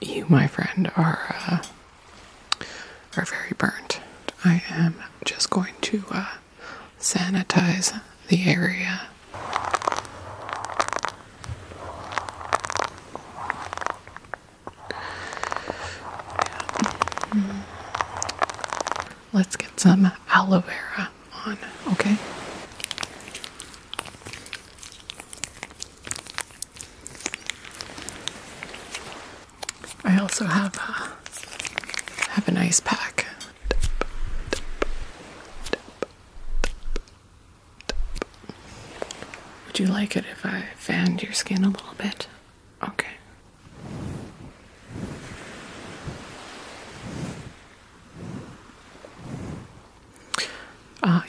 You, my friend, are uh, are very burnt. I am just going to uh, sanitize the area. Let's get some aloe vera on, okay? I also have a, uh, have an ice pack. Would you like it if I fanned your skin a little bit? Okay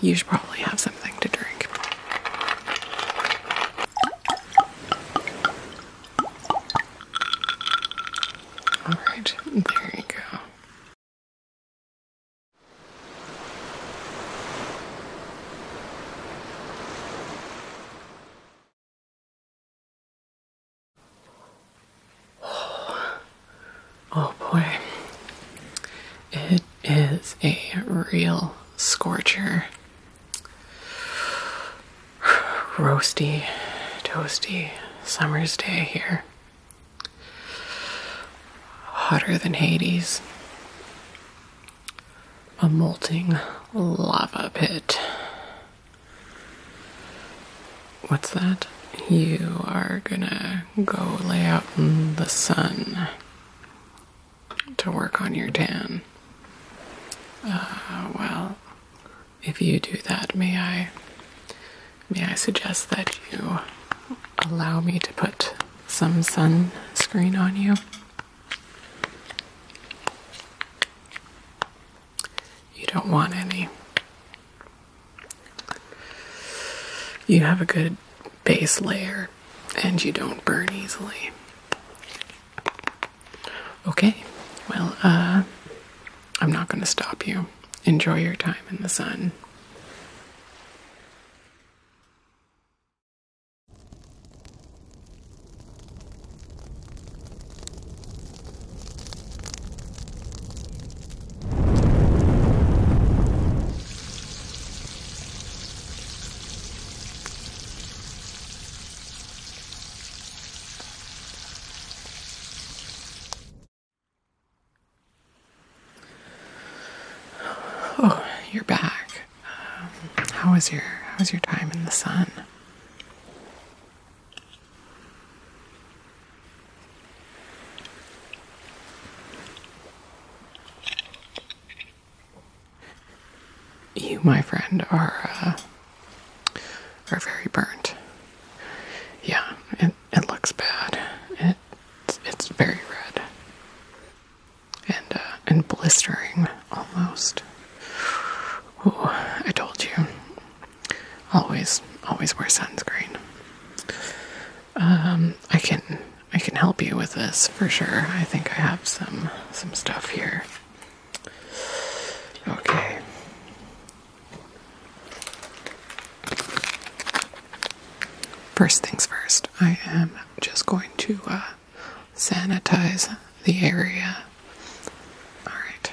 you should probably have something to drink. All right, there you go. Oh, Oh boy. It is a real scorcher. Roasty, toasty summer's day here. Hotter than Hades. A molting lava pit. What's that? You are gonna go lay out in the sun to work on your tan. Uh, well, if you do that, may I may I suggest that you allow me to put some sunscreen on you? You don't want any you have a good base layer and you don't burn easily. Okay, well, uh, I'm not going to stop you. Enjoy your time in the sun. Oh, you're back. Um, how was your how was your time in the sun? You, my friend, are uh, are very burnt. Yeah, it it looks bad. It it's, very red and uh, and blistering almost. Ooh, I told you, Always, always wear sunscreen. Um, I can I can help you with this for sure. I think I have some some stuff here. Okay. First things first, I am just going to uh, sanitize the area. All right.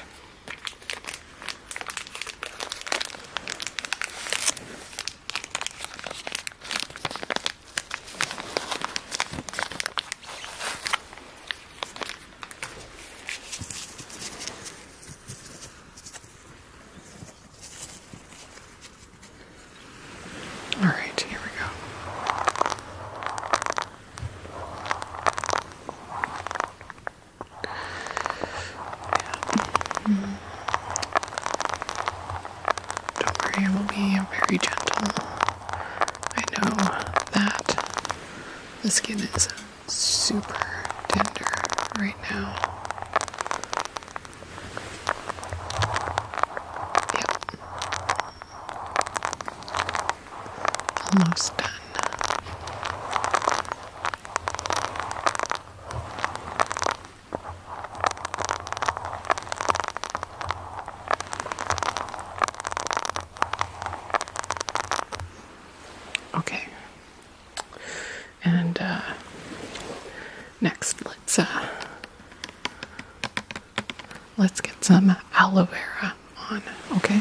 All right, here we go. Don't worry, I will be very gentle. I know that the skin is super tender right now. Yep. Almost done. Okay. And uh, next, let's uh, let's get some aloe vera on. Okay.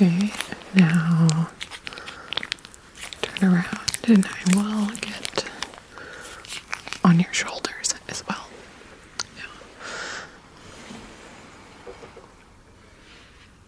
Okay, now turn around and I will get on your shoulders as well. Yeah.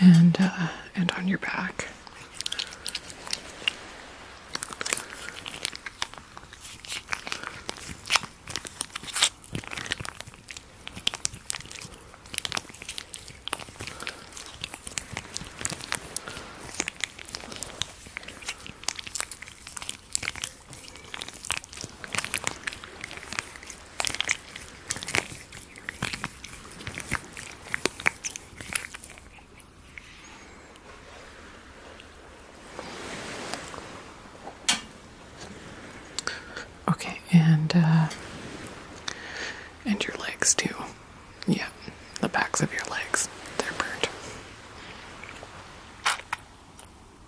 and uh, and on your back. Okay, and uh, and your legs too. Yeah, the backs of your legs—they're burnt.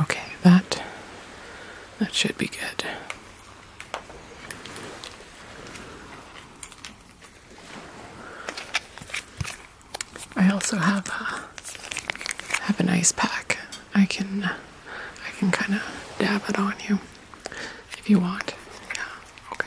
Okay, that that should be good. I also have uh, have an ice pack. I can I can kind of dab it on you if you want. Yeah. Okay.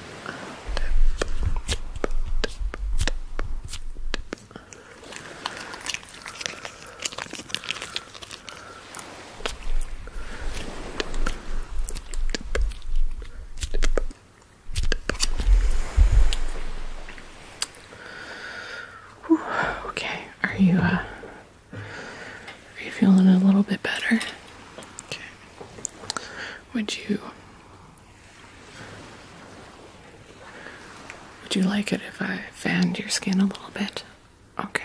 okay, are you uh are you feeling a little bit better? Okay. Would you would you like it if I fanned your skin a little bit? Okay.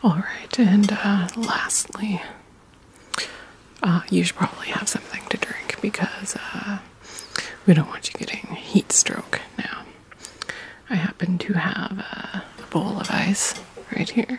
All right, and uh, lastly, uh, you should probably have something to drink because uh, we don't want you getting heat stroke now. I happen to have a bowl of ice right here.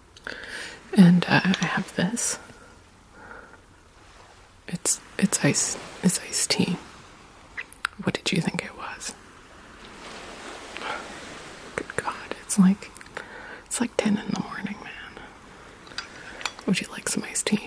And uh, I have this. It's it's ice it's iced tea. What did you think it was? Good God, it's like it's like ten in the morning, man. Would you like some iced tea?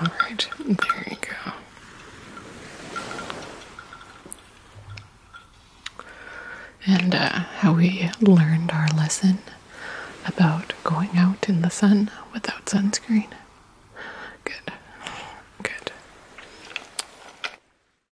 All right, there you go. And uh, how we learned our lesson about going out in the sun without sunscreen. Good. Good.